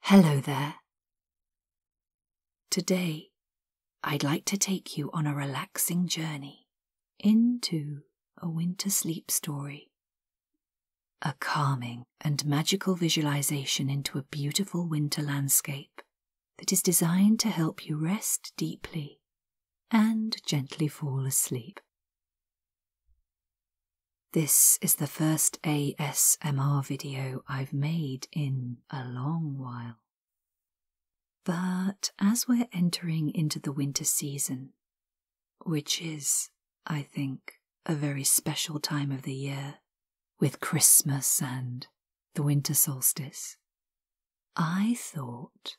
Hello there. Today, I'd like to take you on a relaxing journey into a winter sleep story. A calming and magical visualization into a beautiful winter landscape that is designed to help you rest deeply and gently fall asleep. This is the first ASMR video I've made in a long while. But as we're entering into the winter season, which is, I think, a very special time of the year, with Christmas and the winter solstice, I thought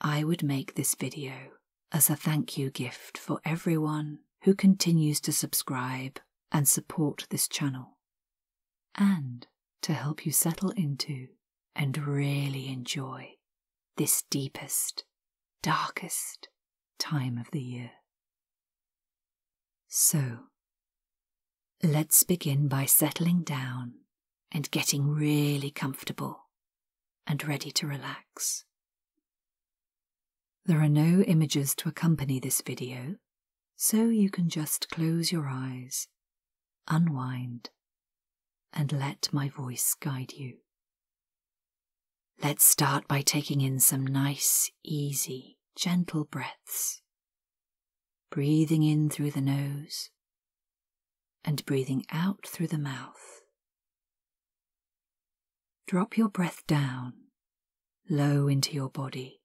I would make this video as a thank you gift for everyone who continues to subscribe and support this channel, and to help you settle into and really enjoy this deepest, darkest time of the year. So, let's begin by settling down and getting really comfortable and ready to relax. There are no images to accompany this video, so you can just close your eyes, unwind, and let my voice guide you. Let's start by taking in some nice, easy, gentle breaths. Breathing in through the nose and breathing out through the mouth. Drop your breath down, low into your body.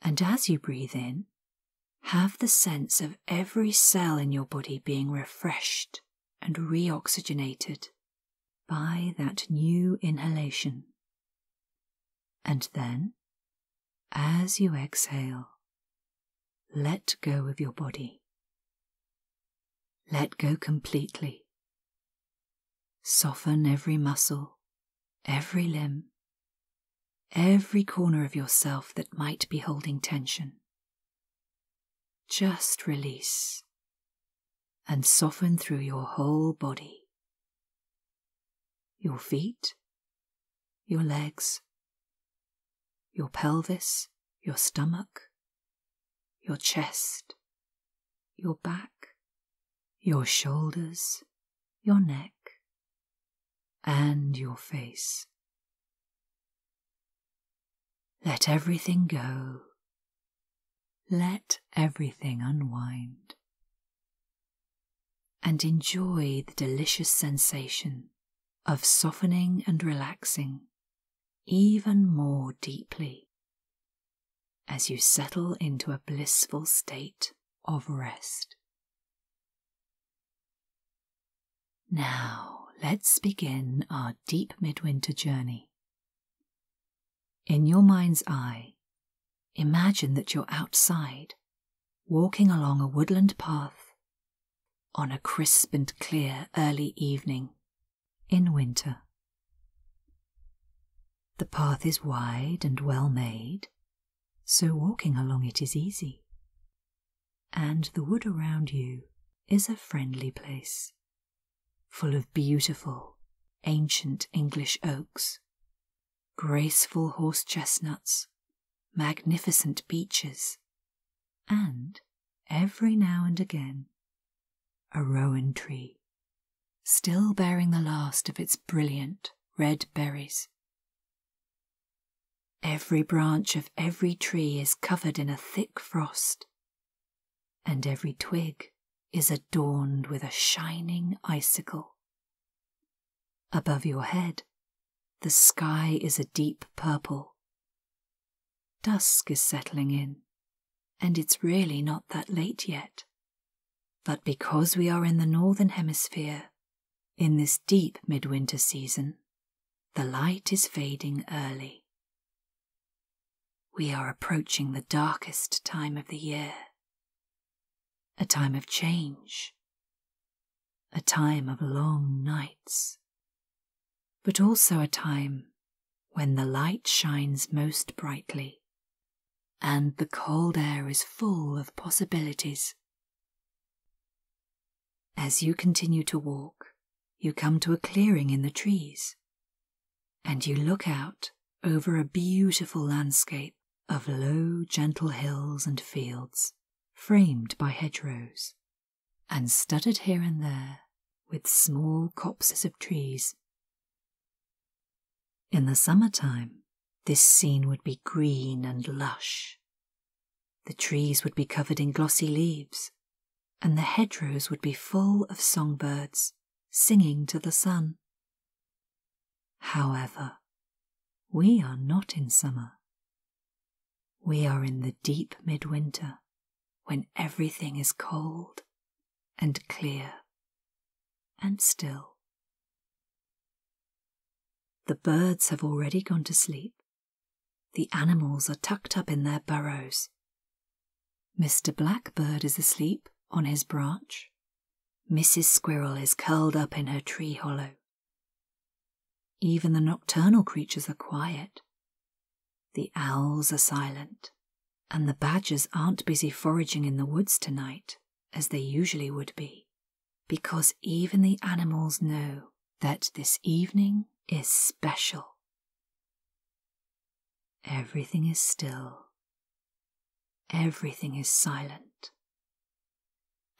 And as you breathe in, have the sense of every cell in your body being refreshed and reoxygenated by that new inhalation. And then, as you exhale, let go of your body. Let go completely. Soften every muscle, every limb, every corner of yourself that might be holding tension. Just release and soften through your whole body your feet, your legs, your pelvis, your stomach, your chest, your back, your shoulders, your neck, and your face. Let everything go. Let everything unwind. And enjoy the delicious sensation of softening and relaxing even more deeply as you settle into a blissful state of rest. Now, let's begin our deep midwinter journey. In your mind's eye, imagine that you're outside, walking along a woodland path on a crisp and clear early evening in winter. The path is wide and well made, so walking along it is easy, and the wood around you is a friendly place, full of beautiful, ancient English oaks, graceful horse chestnuts, magnificent beeches, and every now and again a rowan tree, still bearing the last of its brilliant red berries. Every branch of every tree is covered in a thick frost, and every twig is adorned with a shining icicle. Above your head the sky is a deep purple. Dusk is settling in, and it's really not that late yet. But because we are in the northern hemisphere, in this deep midwinter season, the light is fading early. We are approaching the darkest time of the year, a time of change, a time of long nights, but also a time when the light shines most brightly and the cold air is full of possibilities. As you continue to walk, you come to a clearing in the trees, and you look out over a beautiful landscape of low, gentle hills and fields framed by hedgerows, and studded here and there with small copses of trees. In the summer time, this scene would be green and lush. The trees would be covered in glossy leaves, and the hedgerows would be full of songbirds singing to the sun. However, we are not in summer, we are in the deep midwinter when everything is cold and clear and still. The birds have already gone to sleep. The animals are tucked up in their burrows. Mr. Blackbird is asleep on his branch. Mrs. Squirrel is curled up in her tree hollow. Even the nocturnal creatures are quiet. The owls are silent, and the badgers aren't busy foraging in the woods tonight, as they usually would be, because even the animals know that this evening is special. Everything is still. Everything is silent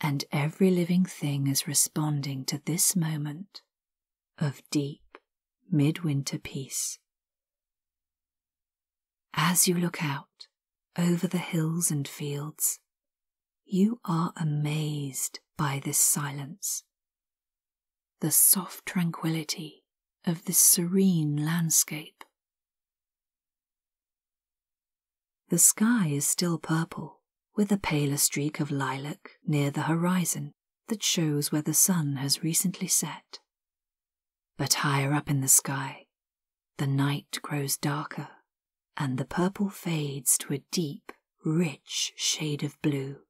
and every living thing is responding to this moment of deep midwinter peace. As you look out over the hills and fields, you are amazed by this silence, the soft tranquility of this serene landscape. The sky is still purple, with a paler streak of lilac near the horizon that shows where the sun has recently set. But higher up in the sky, the night grows darker, and the purple fades to a deep, rich shade of blue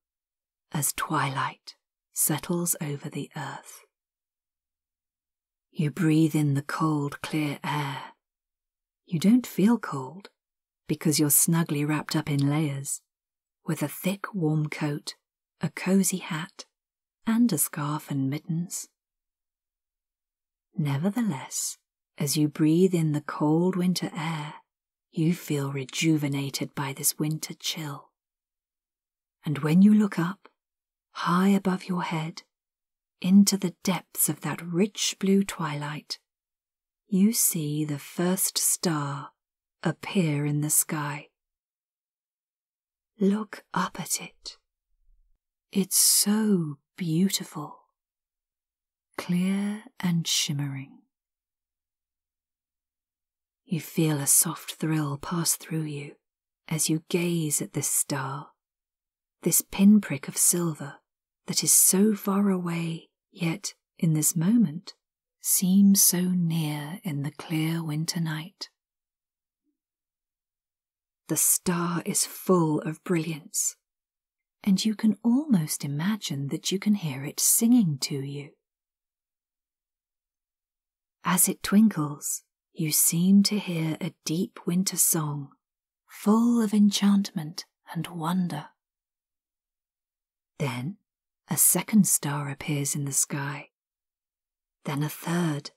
as twilight settles over the earth. You breathe in the cold, clear air. You don't feel cold because you're snugly wrapped up in layers with a thick, warm coat, a cosy hat, and a scarf and mittens. Nevertheless, as you breathe in the cold winter air, you feel rejuvenated by this winter chill. And when you look up, high above your head, into the depths of that rich blue twilight, you see the first star appear in the sky. Look up at it. It's so beautiful, clear and shimmering. You feel a soft thrill pass through you as you gaze at this star, this pinprick of silver that is so far away, yet in this moment seems so near in the clear winter night. The star is full of brilliance, and you can almost imagine that you can hear it singing to you. As it twinkles, you seem to hear a deep winter song, full of enchantment and wonder. Then a second star appears in the sky, then a third,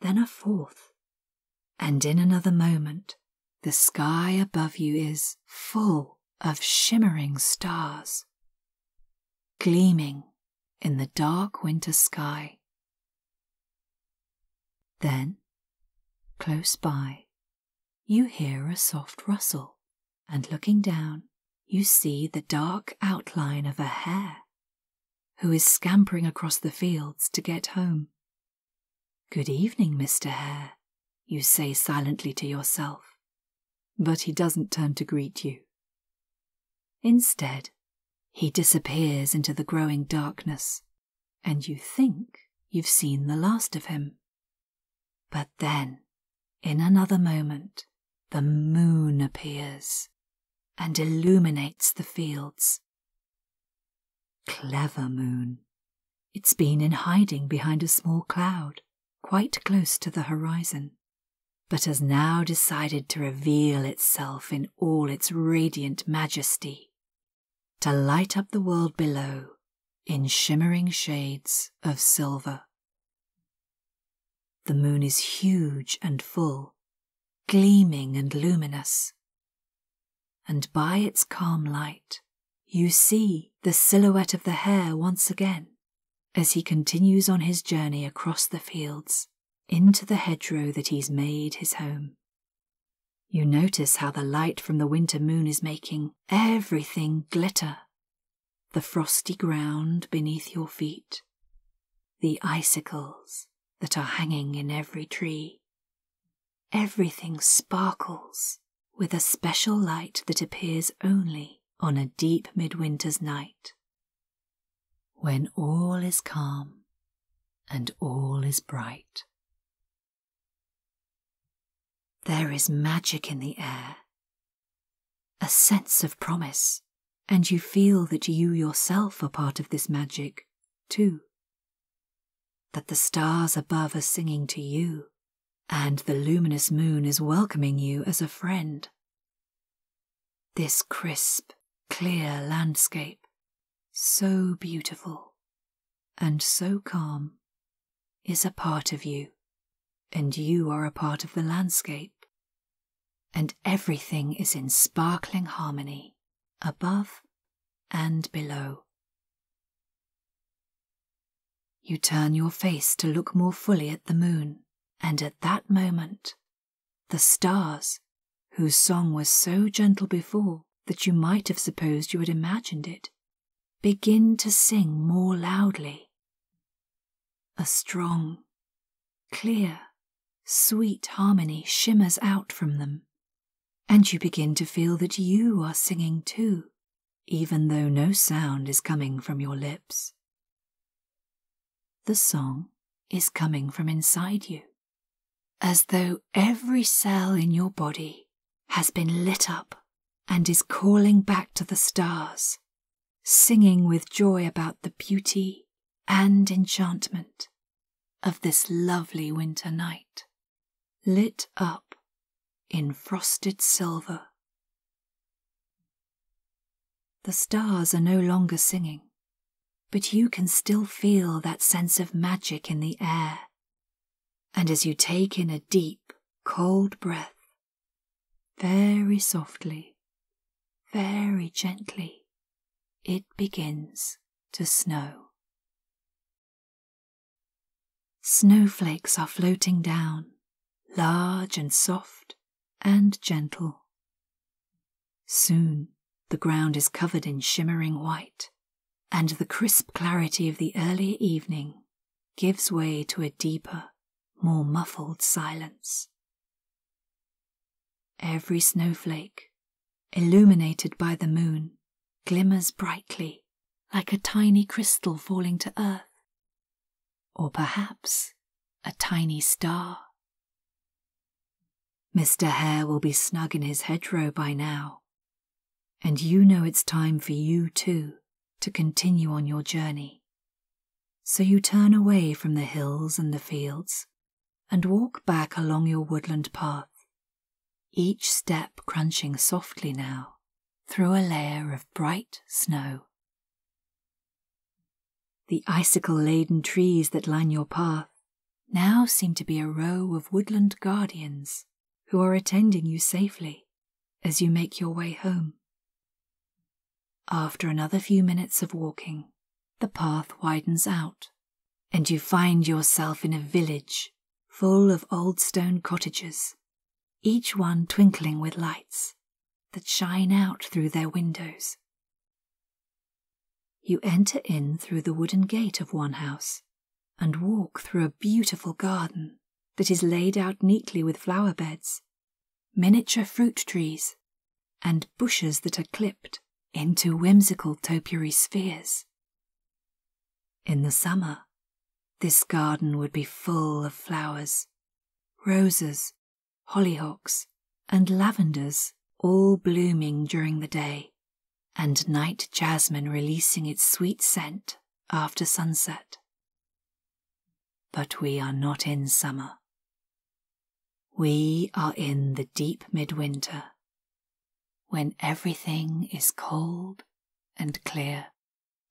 then a fourth, and in another moment the sky above you is full of shimmering stars, gleaming in the dark winter sky. Then, close by, you hear a soft rustle, and looking down, you see the dark outline of a hare who is scampering across the fields to get home. Good evening, Mr. Hare, you say silently to yourself, but he doesn't turn to greet you. Instead, he disappears into the growing darkness, and you think you've seen the last of him. But then, in another moment, the moon appears and illuminates the fields. Clever moon. It's been in hiding behind a small cloud, quite close to the horizon but has now decided to reveal itself in all its radiant majesty, to light up the world below in shimmering shades of silver. The moon is huge and full, gleaming and luminous, and by its calm light, you see the silhouette of the hare once again as he continues on his journey across the fields into the hedgerow that he's made his home. You notice how the light from the winter moon is making everything glitter the frosty ground beneath your feet, the icicles that are hanging in every tree. Everything sparkles with a special light that appears only on a deep midwinter's night when all is calm and all is bright. There is magic in the air, a sense of promise, and you feel that you yourself are part of this magic, too. That the stars above are singing to you, and the luminous moon is welcoming you as a friend this crisp, clear landscape, so beautiful and so calm, is a part of you, and you are a part of the landscape, and everything is in sparkling harmony above and below. You turn your face to look more fully at the moon, and at that moment, the stars, whose song was so gentle before that you might have supposed you had imagined it, begin to sing more loudly. A strong, clear, sweet harmony shimmers out from them, and you begin to feel that you are singing too, even though no sound is coming from your lips. The song is coming from inside you, as though every cell in your body has been lit up and is calling back to the stars, singing with joy about the beauty and enchantment of this lovely winter night, lit up in frosted silver. The stars are no longer singing, but you can still feel that sense of magic in the air. And as you take in a deep, cold breath, very softly, very gently, it begins to snow. Snowflakes are floating down, large and soft and gentle. Soon the ground is covered in shimmering white, and the crisp clarity of the early evening gives way to a deeper, more muffled silence. Every snowflake, illuminated by the moon, glimmers brightly like a tiny crystal falling to earth, or perhaps a tiny star. Mr. Hare will be snug in his hedgerow by now, and you know it's time for you too to continue on your journey. So you turn away from the hills and the fields and walk back along your woodland path, each step crunching softly now through a layer of bright snow. The icicle laden trees that line your path now seem to be a row of woodland guardians who are attending you safely as you make your way home. After another few minutes of walking, the path widens out, and you find yourself in a village full of old stone cottages each one twinkling with lights that shine out through their windows. You enter in through the wooden gate of one house and walk through a beautiful garden that is laid out neatly with flower beds, miniature fruit trees, and bushes that are clipped into whimsical topiary spheres. In the summer, this garden would be full of flowers roses, hollyhocks, and lavenders, all blooming during the day, and night jasmine releasing its sweet scent after sunset. But we are not in summer. We are in the deep midwinter when everything is cold and clear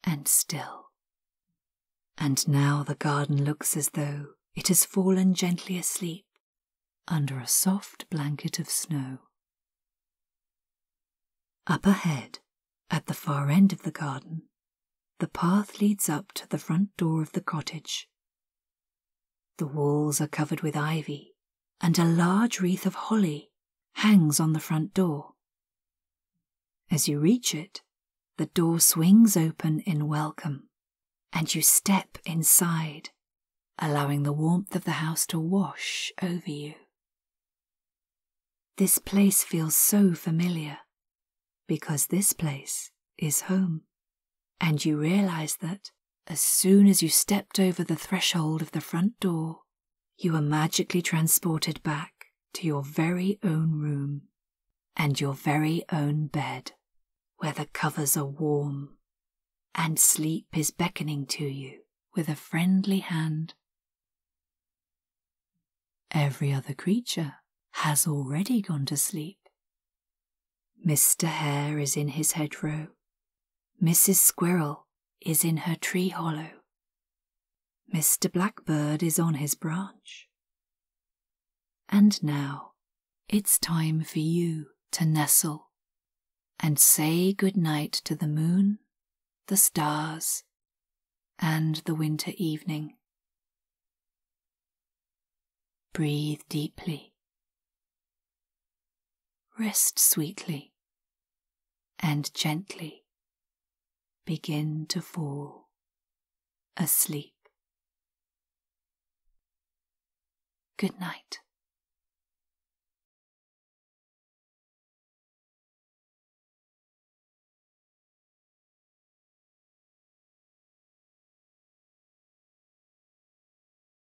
and still. And now the garden looks as though it has fallen gently asleep under a soft blanket of snow. Up ahead, at the far end of the garden, the path leads up to the front door of the cottage. The walls are covered with ivy and a large wreath of holly hangs on the front door. As you reach it, the door swings open in welcome, and you step inside, allowing the warmth of the house to wash over you. This place feels so familiar because this place is home, and you realize that as soon as you stepped over the threshold of the front door, you were magically transported back to your very own room and your very own bed, where the covers are warm and sleep is beckoning to you with a friendly hand. Every other creature has already gone to sleep. Mr. Hare is in his hedgerow. Mrs. Squirrel is in her tree hollow. Mr. Blackbird is on his branch. And now it's time for you to nestle and say good night to the moon, the stars, and the winter evening. Breathe deeply Rest sweetly and gently begin to fall asleep. Good night.